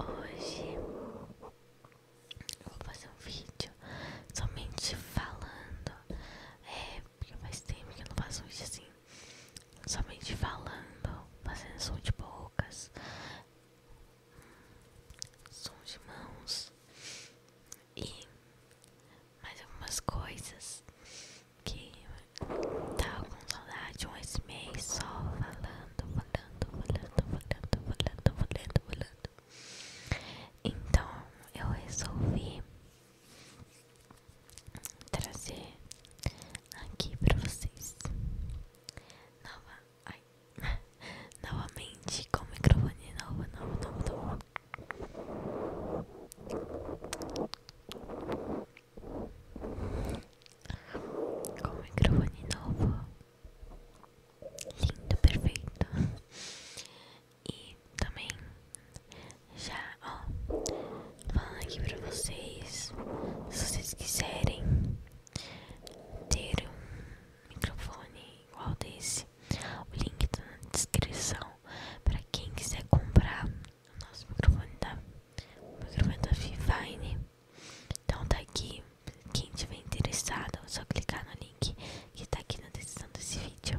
Hoje eu vou fazer um vídeo somente falando é, porque faz tempo que eu não faço isso assim, somente falando, fazendo som de bocas, som de mãos e mais algumas coisas que tava tá com saudade um esse mês só falando, falando, falando, falando, falando, falando, falando. Então eu resolvi trazer aqui para vocês Nova, ai, novamente com o microfone novo, novo, novo, novo. Com o microfone novo, lindo, perfeito. E também já, ó, falando aqui pra vocês, se vocês quiserem ter um microfone igual desse, o link tá na descrição para quem quiser comprar o nosso microfone da, o microfone da Vivine. Então tá aqui, quem tiver interessado, é só clicar no link que tá aqui na descrição desse vídeo.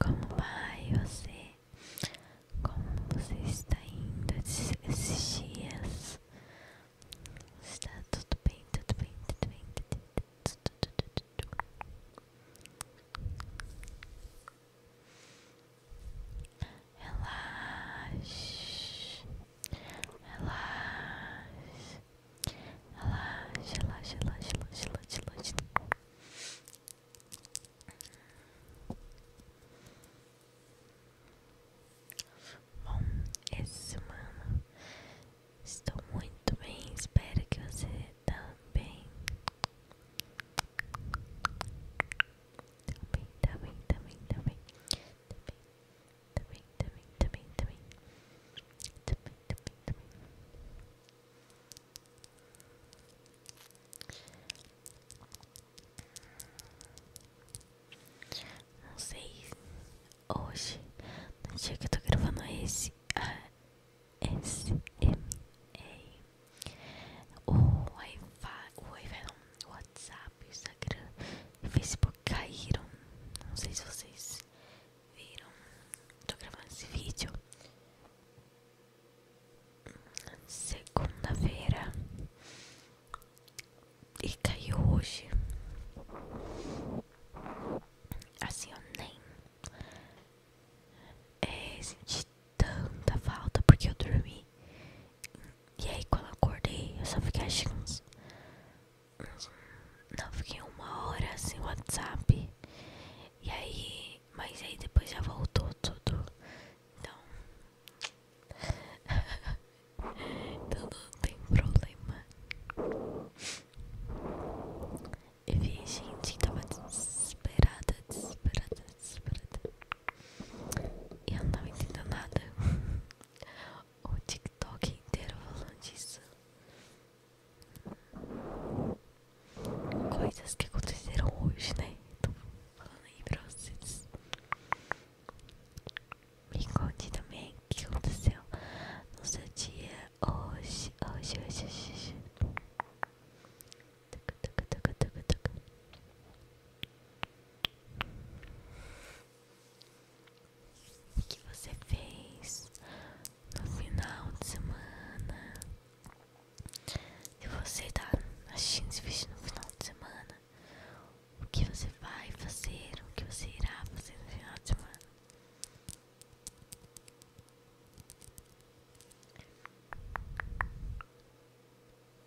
Como vai você? Como você está indo esses, esses dias? Está tudo bem, tudo bem, tudo bem, tudo bem relaxe, relaxe, relaxe, relaxe, relaxe, relaxe, relaxe. Bom, essa semana estou muito bem, espero que você Também, também, tá também, tá também. Tá também, também, também, também, também, também, também, também. Não sei, hoje, não sei que eu tô gravando esse, ah, esse, é, é, o Wi-Fi, o Wi-Fi WhatsApp WhatsApp, Instagram e Facebook caíram. Não sei se vocês viram. Tô gravando esse vídeo segunda-feira e caiu hoje. Assim eu nem eh, senti tanta falta porque eu dormi e aí quando acordei, eu só fiquei assim uns, Não, fiquei uma hora sem WhatsApp. E aí. Mas aí depois já voltou tudo. Então. então não tem problema. Eu vi a gente que tava desesperada, desesperada, desesperada. E eu não tava entendendo nada. O TikTok inteiro falando disso. Coisas que aconteceram hoje, né? Estou falando aí pra vocês. Me conte também o que aconteceu no seu dia hoje, hoje, hoje, hoje. hoje. O que você fez no final de semana? Se você tá assistindo esse vídeo no final de semana, o que você vai fazer? O que você irá fazer no final de semana?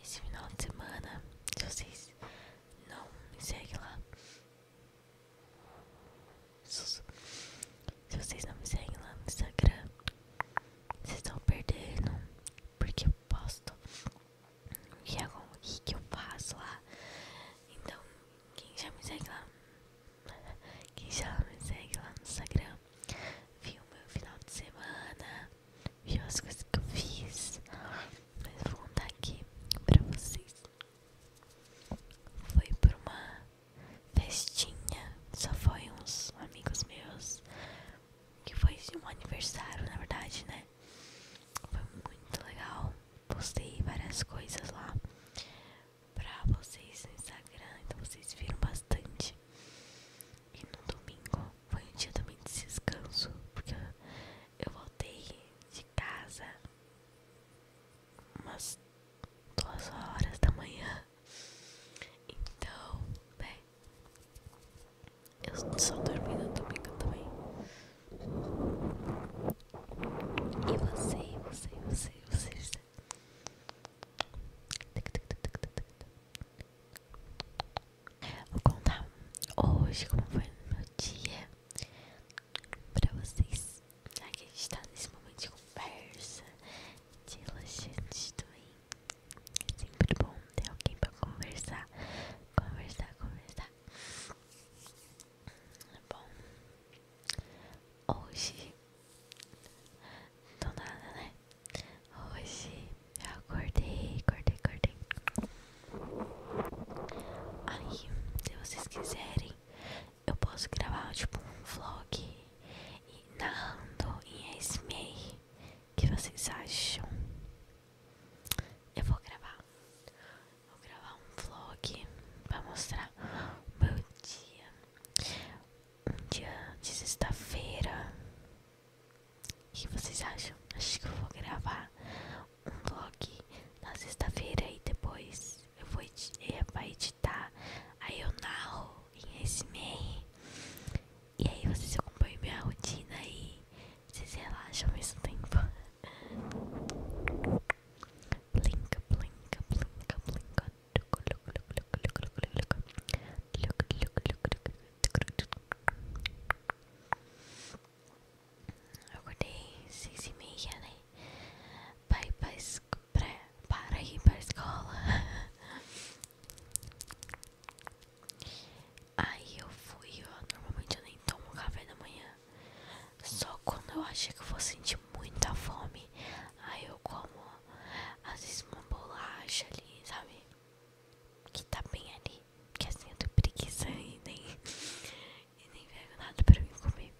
Nesse final de semana, se vocês não me seguem lá, se vocês não me seguem lá no Instagram, vocês estão perdendo, porque eu posto o que, é, que eu faço lá. Então, quem já me segue lá, quem já me segue lá no Instagram viu meu final de semana, viu as coisas que eu fiz. Mas vou contar aqui pra vocês. Foi por uma festinha, só foi uns amigos meus, que foi de um aniversário, na verdade, né? Foi muito legal. Postei várias coisas lá pra vocês no Instagram, então vocês viram bastante. E no domingo foi um dia também de descanso, porque eu voltei de casa umas duas horas da manhã. Então, bem, né, eu só dormi no domingo também. E você, você, você, você. você. Vou contar hoje como foi o meu dia para vocês. Aqui a gente tá nesse momento de conversa, de relaxante também. É sempre bom ter alguém para conversar, conversar, conversar. é Bom, hoje do nada, né? Hoje eu acordei, acordei, acordei. Aí, se vocês quiserem, eu posso gravar tipo um vlog e narrando em SME. que vocês acham? Eu vou gravar. Vou gravar um vlog pra mostrar o meu dia um dia de sexta-feira. O que vocês acham? Acho que eu vou gravar um vlog na sexta-feira e depois eu vou editar. Aí eu narro em SMR. E aí vocês acompanham minha rotina e vocês relaxam ao mesmo tempo. Blinka, blinka, blinka, blinka, eu acordei seis e meia, né? para ir para ir escola. Aí eu fui, ó. Normalmente eu nem tomo café da manhã. Só quando eu achei que eu vou sentir muita fome, aí eu como às vezes uma bolacha ali, sabe? Que tá bem ali, que assim eu tô preguiça e nem, e nem nada pra mim comer.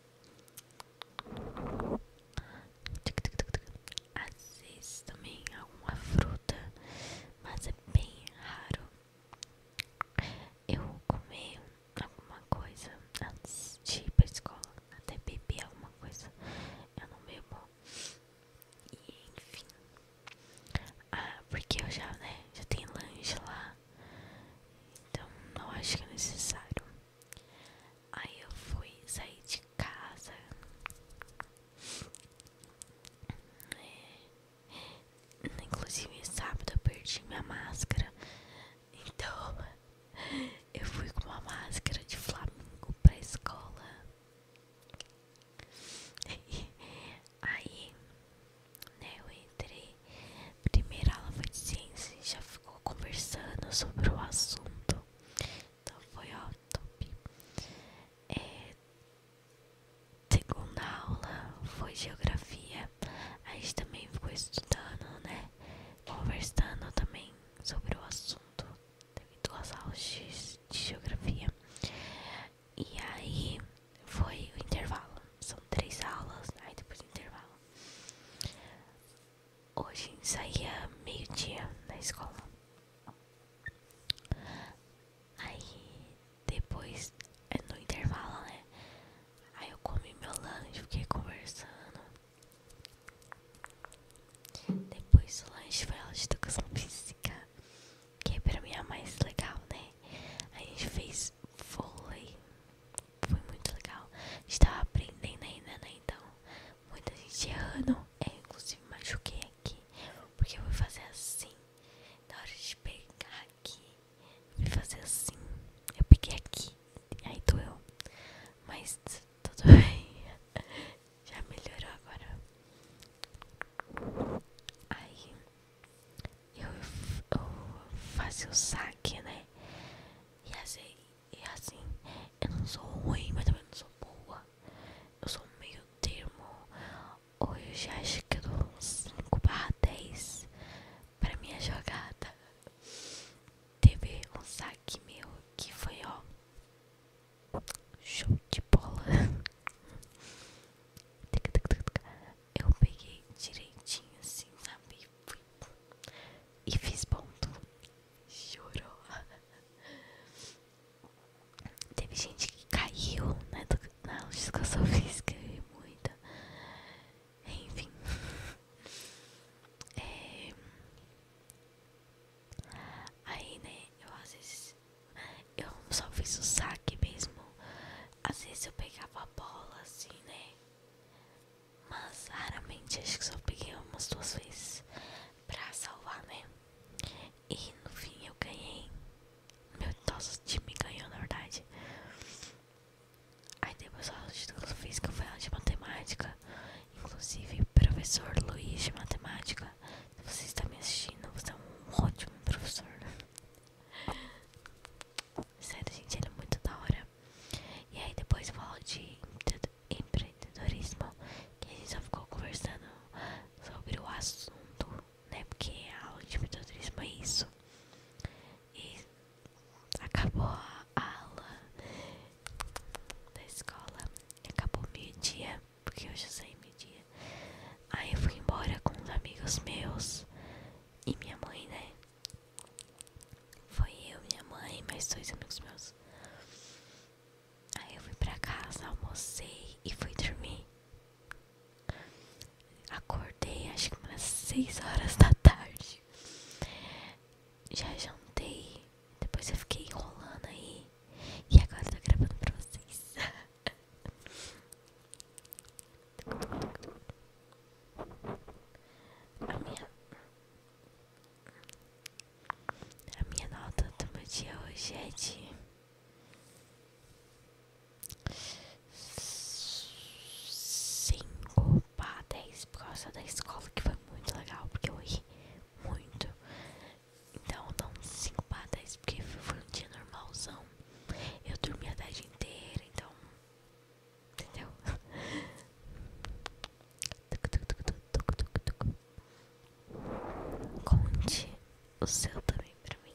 Às vezes também alguma fruta, mas é bem raro eu comer alguma coisa antes de ir pra escola, até beber alguma coisa, eu não bebo. E enfim. Ah, porque eu já, né, já tem lanche lá. Então não acho que é necessário. Aí eu fui sair de casa. É. Inclusive sábado perdi minha máscara então, eu fui com uma máscara de flamingo pra escola. Aí, né, eu entrei. Primeira aula foi de ciência, já ficou conversando sobre o assunto. Então foi ótimo é, segunda aula foi geografia dia a gente também ficou estudando, né? Conversando também sobre o assunto devido às aulas de, geografia. E aí foi o intervalo. São três aulas, aí depois do intervalo. Hoje saía meio-dia na escola. Aí depois é no intervalo, né? Aí eu comi meu lanche, fiquei conversando. Depois do lanche foi aula educação física, que é pra mim é a mais legal, né? a gente fez vôlei, foi muito legal. A gente tava aprendendo ainda, né? Então, muita gente errando. Eu, é, inclusive, machuquei aqui, porque eu vou fazer assim. Na hora de pegar aqui e fazer assim. Eu é peguei aqui, e aí doeu. Mas tudo bem. Já melhorou agora. Aí eu, eu faço o saque, né? E assim, e assim, eu não sou ruim, mas também não sou boa. Eu sou meio termo. já acho que eu dou uns 5 barra 10 pra minha jogada. Teve um saque meu que foi ó. Show de bola. Eu peguei direitinho assim, sabe? Fui. E fiz ponto. Chorou. Teve gente que caiu né, na, na educação que e muita. Enfim. É... Aí, né, eu às vezes. Eu só fiz o saque mesmo. Às vezes eu pegava a bola assim, né? Mas raramente acho que só peguei umas duas vezes pra salvar, né? E no fim eu ganhei. Meu nosso time ganhou, na verdade. Aí depois a aula de educação física foi aula de matemática. Inclusive, professor Luiz de matemática, se você está me assistindo, você é um ótimo professor. Sério, gente, ele é muito da hora. E aí depois eu falo de empreendedorismo, que a gente só ficou conversando sobre o assunto, né? Porque a aula de empreendedorismo é isso. E acabou a aula da escola, acabou meio-dia, porque eu já saí meio-dia. Aí eu fui embora com os amigos meus e minha mãe, né? Foi eu, minha mãe, mais dois amigos meus. Aí eu fui pra casa, almocei e fui dormir. Acordei acho que umas 6 horas da tarde. Já jantei. Depois eu fiquei enrolando aí. E agora eu tô gravando pra vocês. A minha, a minha nota do meu dia hoje é de 5 para 10 por causa da escola, que foi muito legal, porque eu ri muito. Então, dá uns 5 para 10, porque foi um dia normalzão. Eu dormi a tarde inteira, então. Entendeu? Conte o seu também pra mim.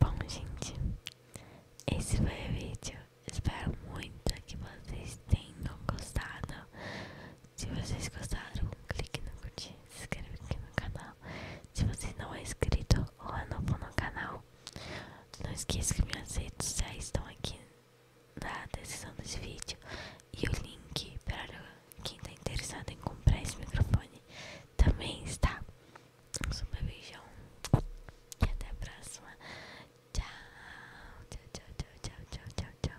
Bom, gente, esse foi o vídeo. Espero muito que vocês tenham gostado. Se vocês gostaram, clique no curtir, se inscreva aqui no canal. Se você não é inscrito ou é novo no canal, não esqueça que me redes sociais estão aqui na descrição desse vídeo e o link para quem está interessado em comprar esse microfone também está. Um beijão e até a próxima. tchau, tchau, tchau, tchau, tchau, tchau.